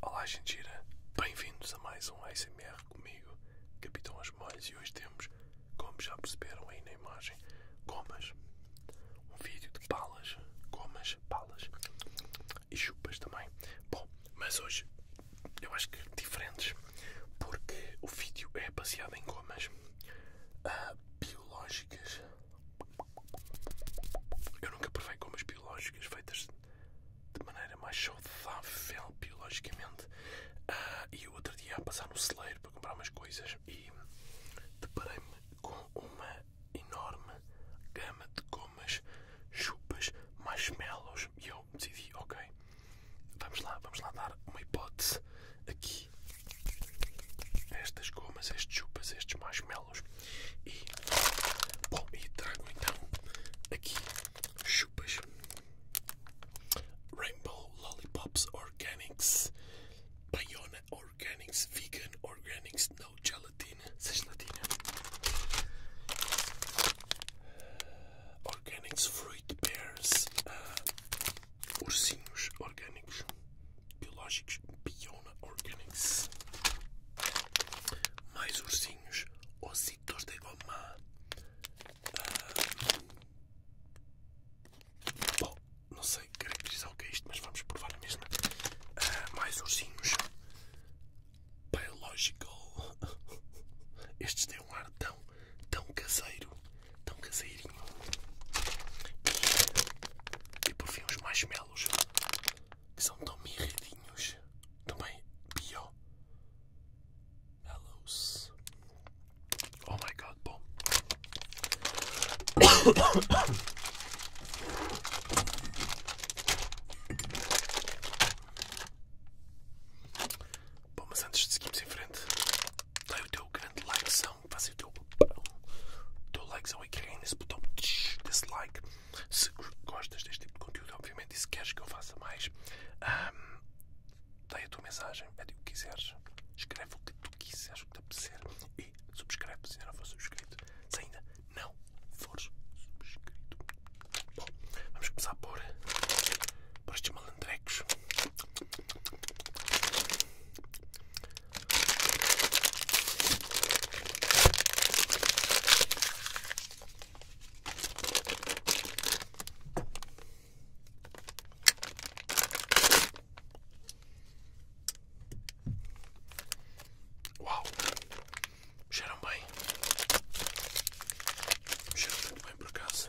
Olá, Gentira. Bem-vindos a mais um ASMR comigo, Capitão Asmolhos, e hoje temos, como já perceberam aí na imagem, gomas. Um vídeo de palas, gomas, palas e chupas também. Bom, mas hoje eu acho que diferentes, porque o vídeo é baseado em gomas ah, biológicas eu nunca provei gomas biológicas feitas de maneira mais saudável biologicamente. Ah, e o outro dia a passar no celeiro para comprar umas coisas e deparei-me com uma enorme gama de gomas, chupas, marshmallows e eu decidi, ok, vamos lá, vamos lá dar uma hipótese aqui estas gomas, estas chupas, estes marshmallows e, bom, e trago então aqui chupas Rainbow Lollipops Organics Paiona Organics Vegan Organics No Gelatina Sem gelatina Organics Fruit Pears ah, ursinhos orgânicos biológicos Biona Organics mais ursinhos ositos de goma ah, bom, não sei caracterizar o que é isto mas vamos provar a mesma ah, mais ursinhos biological estes têm um ar tão, tão caseiro tão caseirinho. E, e por fim os marshmallows, que são tão mirradinhos, também bio. Mallows. Oh my god, bom. Bom, mas antes de seguirmos em frente, Dai o teu grande likezão, faz o teu, teu likezão e carrega nesse botão dislike se gostas deste tipo de conteúdo, obviamente, e se queres que eu faça mais, um, dai a tua mensagem, pede o que quiseres, escreve o que tu quiseres, o que te apetecer e subscreve se ainda não for subscrito. Se ainda não for subscrito, bom, vamos começar por, por estes malandrecos. Uau, cheiram bem, cheiram muito bem por casa.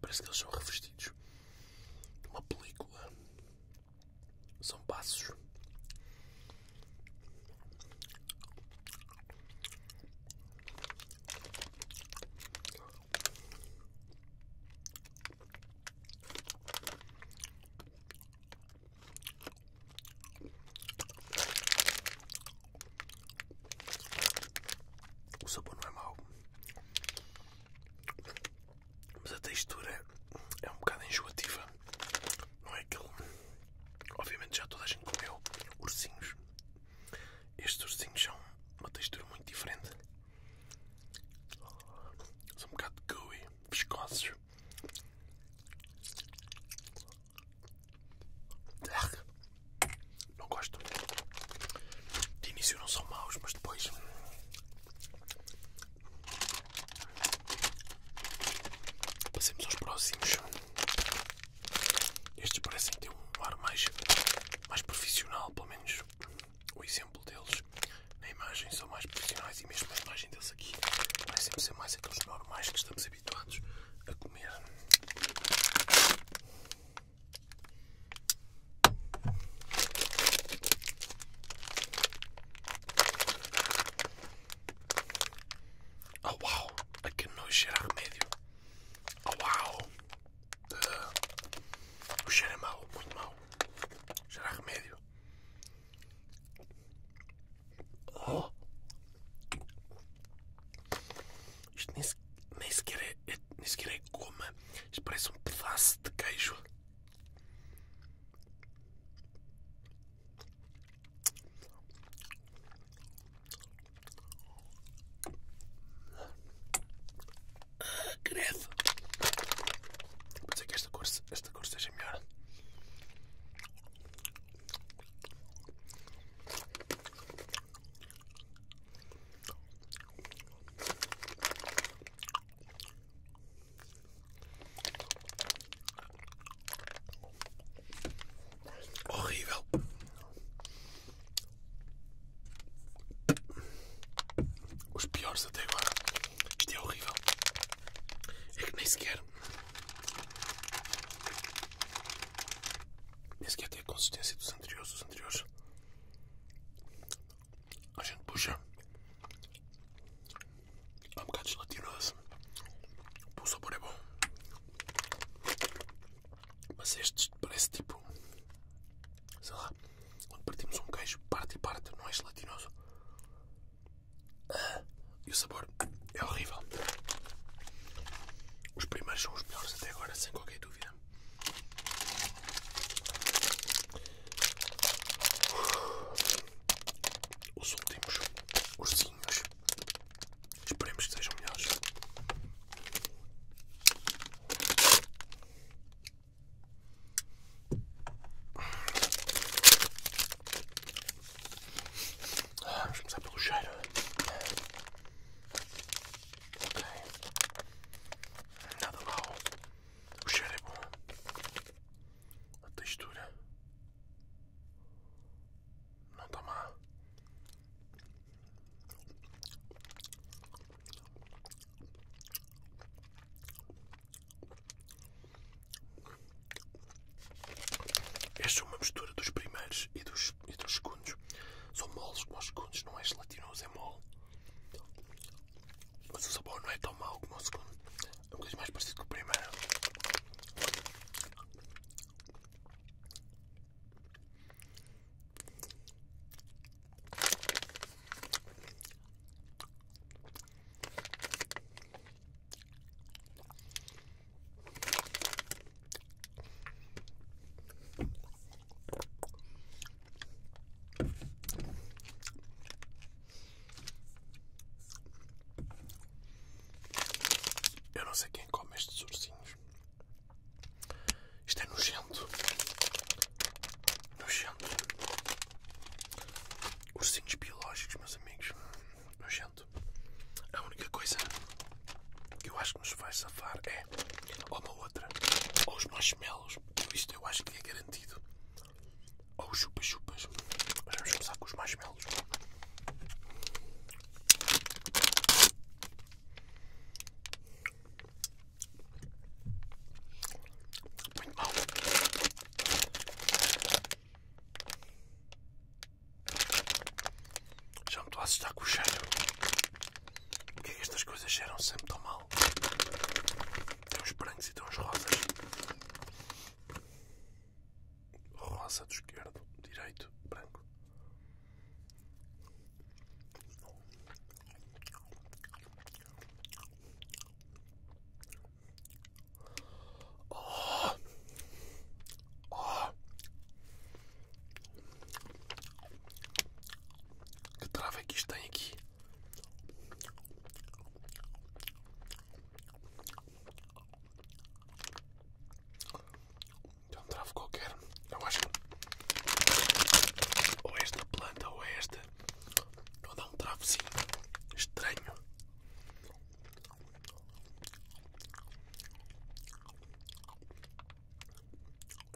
Parece que eles são revestidos de uma película. São passos. O sabor não é mau, mas a textura é um bocado enjoativa. Não é aquele. Obviamente, já toda a gente comeu ursinhos. Estes ursinhos são uma textura muito diferente. São um bocado gooey, viscosos. Não gosto. De início não são maus, mas depois. Passemos aos próximos. Estes parecem ter um ar mais, mais profissional, pelo menos o exemplo deles na imagem são mais profissionais e mesmo a imagem deles vai sempre ser mais aqueles normais que estamos habituados a comer. Oh uau! A que nojo cheira a remédio! Oh uau! o cheiro é mau, muito mau. Cheira a remédio. Oh. Isto nem, sequer é-, é, nem sequer é goma. Isto parece um pedaço de queijo. Ah, greve. Vou dizer que esta cor, esta cor seja melhor. Horrível. Os piores até agora. Isto é horrível. É que nem sequer. Esse aqui tem a consistência dos anteriores. Os anteriores a gente puxa. há é um bocado de gelatinoso. O sabor é bom. Mas este parece tipo. Sei lá. Quando partimos um queijo, parte e parte, não é gelatinoso. E o sabor é horrível. Os primeiros são os melhores até agora, sem qualquer dúvida. Os últimos ursinhos. Esperemos que sejam melhores. Ah, vamos começar pelo cheiro. Ok. Nada mal. O cheiro é bom. A textura não está má. Esta é uma mistura dos primeiros e dos, segundos. São moles como os segundos, não é gelatinoso, é mole. Mas o sabor não é tão mau como o segundo. É um bocadinho mais parecido com o primeiro. Eu não sei quem come estes ursinhos. Isto é nojento. Nojento. Ursinhos biológicos, meus amigos. Nojento. A única coisa que eu acho que nos vai safar é ou uma outra, ou os marshmallows. Isto eu acho que é garantido. Ou os chupa-chupas. Mas vamos começar com os marshmallows. Muito mal. Já me estou a assustar com o cheiro. Porque é que estas coisas geram sempre tão mal? Tem uns brancos e tem uns rosas. Rosa do esquerdo, direito, branco. Oh. Que trava é que isto tem aqui? É um travo qualquer. Eu acho ou é esta planta ou é esta Estou a dar um travozinho estranho.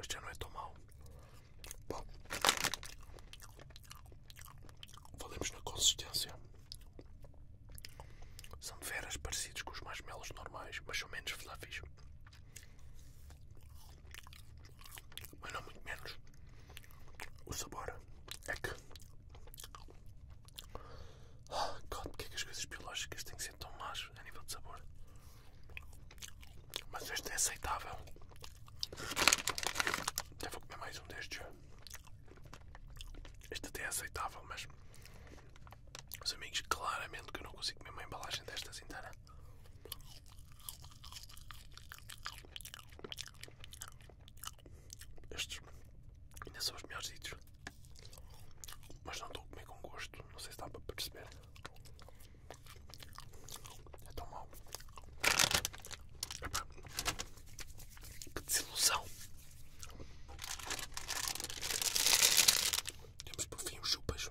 Este já não é tão mau. Bom, valemos na consistência. São de veras parecidos com os marshmallows normais, mas são menos fluffy mas não muito menos. O sabor é que. Oh, God, porque é que as coisas biológicas têm que ser tão más a nível de sabor? Mas este é aceitável. Até vou comer mais um destes. Este até é aceitável, mas. Os amigos, claramente que eu não consigo comer uma embalagem destas inteira. Estes ainda são os melhores ditos, mas não estou a comer com gosto. Não sei se dá para perceber. É tão mau. Que desilusão! Temos por fim os chupas.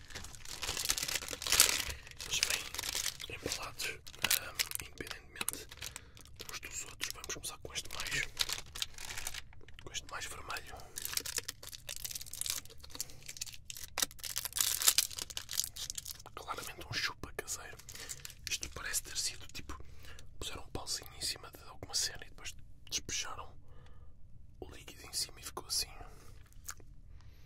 Eles vêm embalados independentemente dos outros. Vamos começar com este mais, com este mais vermelho. Claramente um chupa caseiro. Isto parece ter sido tipo. Puseram um pauzinho em cima de alguma cena e depois despejaram o líquido em cima e ficou assim.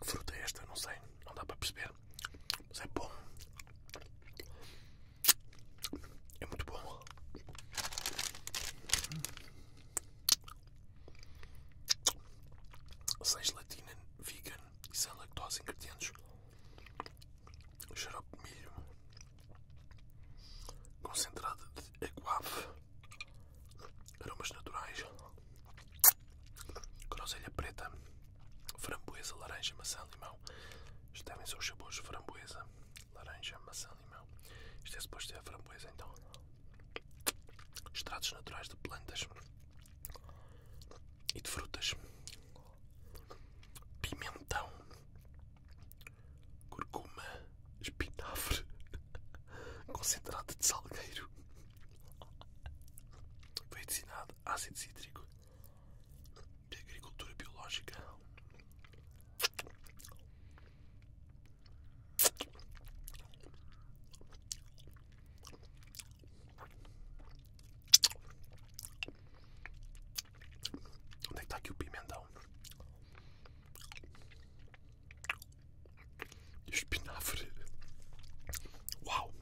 Que fruta é esta? Não sei, não dá para perceber. Mas é bom. É muito bom. Sem gelatina, vegan e sem lactose ingredientes. Xarope de milho. Concentrado de aguave aromas naturais, groselha preta, framboesa, laranja, maçã, limão. Isto devem ser os sabores framboesa, laranja, maçã, limão. Isto é suposto ser a framboesa, então. Extratos naturais de plantas e de frutas. Pimentão, curcuma, espinafre, Concentrado de salgueiro. Foi destinado ácido cítrico de agricultura biológica. Onde é que está aqui o pimentão? Espinafre. Uau!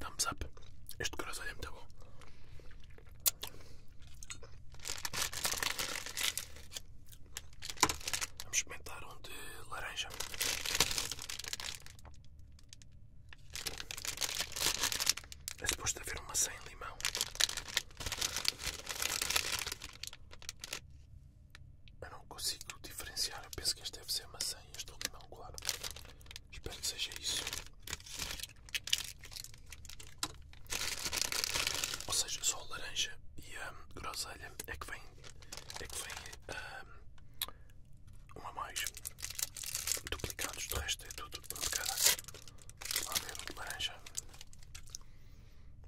Thumbs up. Este croissant é muito bom. Vamos experimentar um de laranja. É suposto haver uma sem limão. Eu não consigo diferenciar. Eu penso que este deve ser maçã e este é limão, claro. Espero que seja isso. Ou seja, só a laranja e a groselha é que vem, é que vem um, a mais duplicados. Do resto é tudo um de cada. Lavelo ah, de laranja.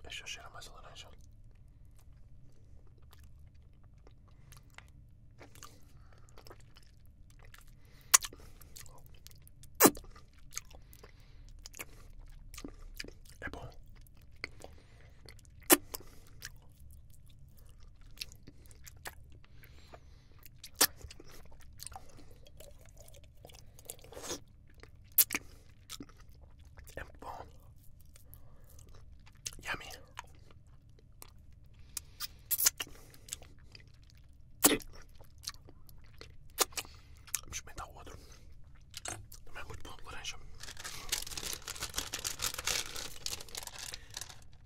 Deixa cheira mais a laranja. É bom. É muito bom. Yummy. Vamos experimentar o outro. Também é muito bom de laranja.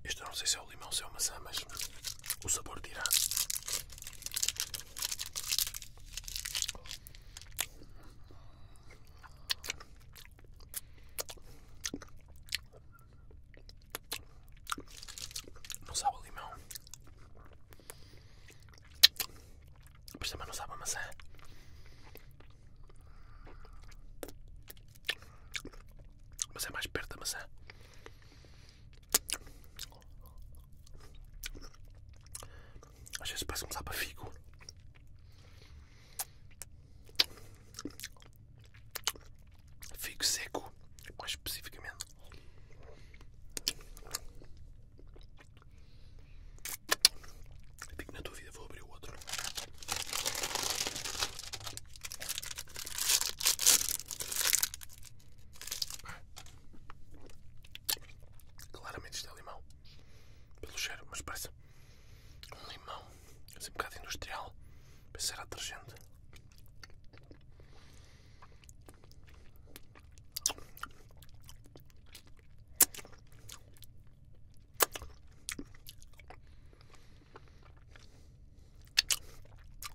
Este não sei se é o limão se é uma maçã, mas o sabor dirá. Não sabe a limão, mas não sabe a maçã. Mas é mais perto da maçã. Às vezes parece um sapafico. Fico seco, mais especificamente. Fico na tua vida vou abrir o outro. Claramente isto é limão. Pelo cheiro, mas parece um limão assim um bocado industrial. ser detergente.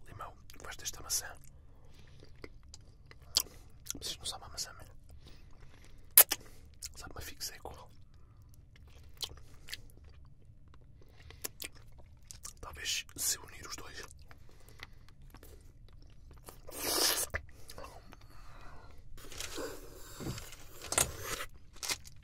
Limão, gosto desta maçã. Vocês não sabem maçã, mano. Sabe, mas fico igual. Talvez se unir os dois.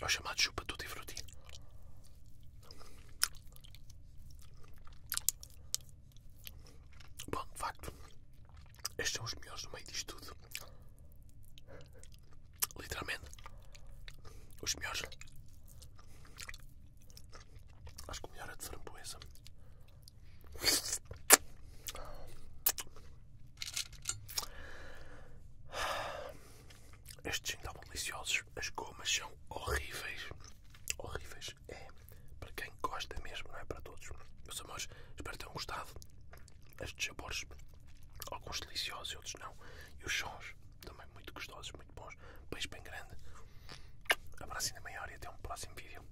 É o chamado chupa tudo e fruti. Bom, de facto, estes são os melhores no meio disto tudo. Literalmente, os melhores. Acho que o melhor é de framboesa. Estes são deliciosos, as gomas são horríveis. Horríveis, é para quem gosta mesmo, não é para todos. Meus amores, espero que tenham gostado. Estes sabores, alguns deliciosos, outros não. E os sons também muito gostosos, muito bons. Beijo bem grande. Abraço ainda maior e até um próximo vídeo.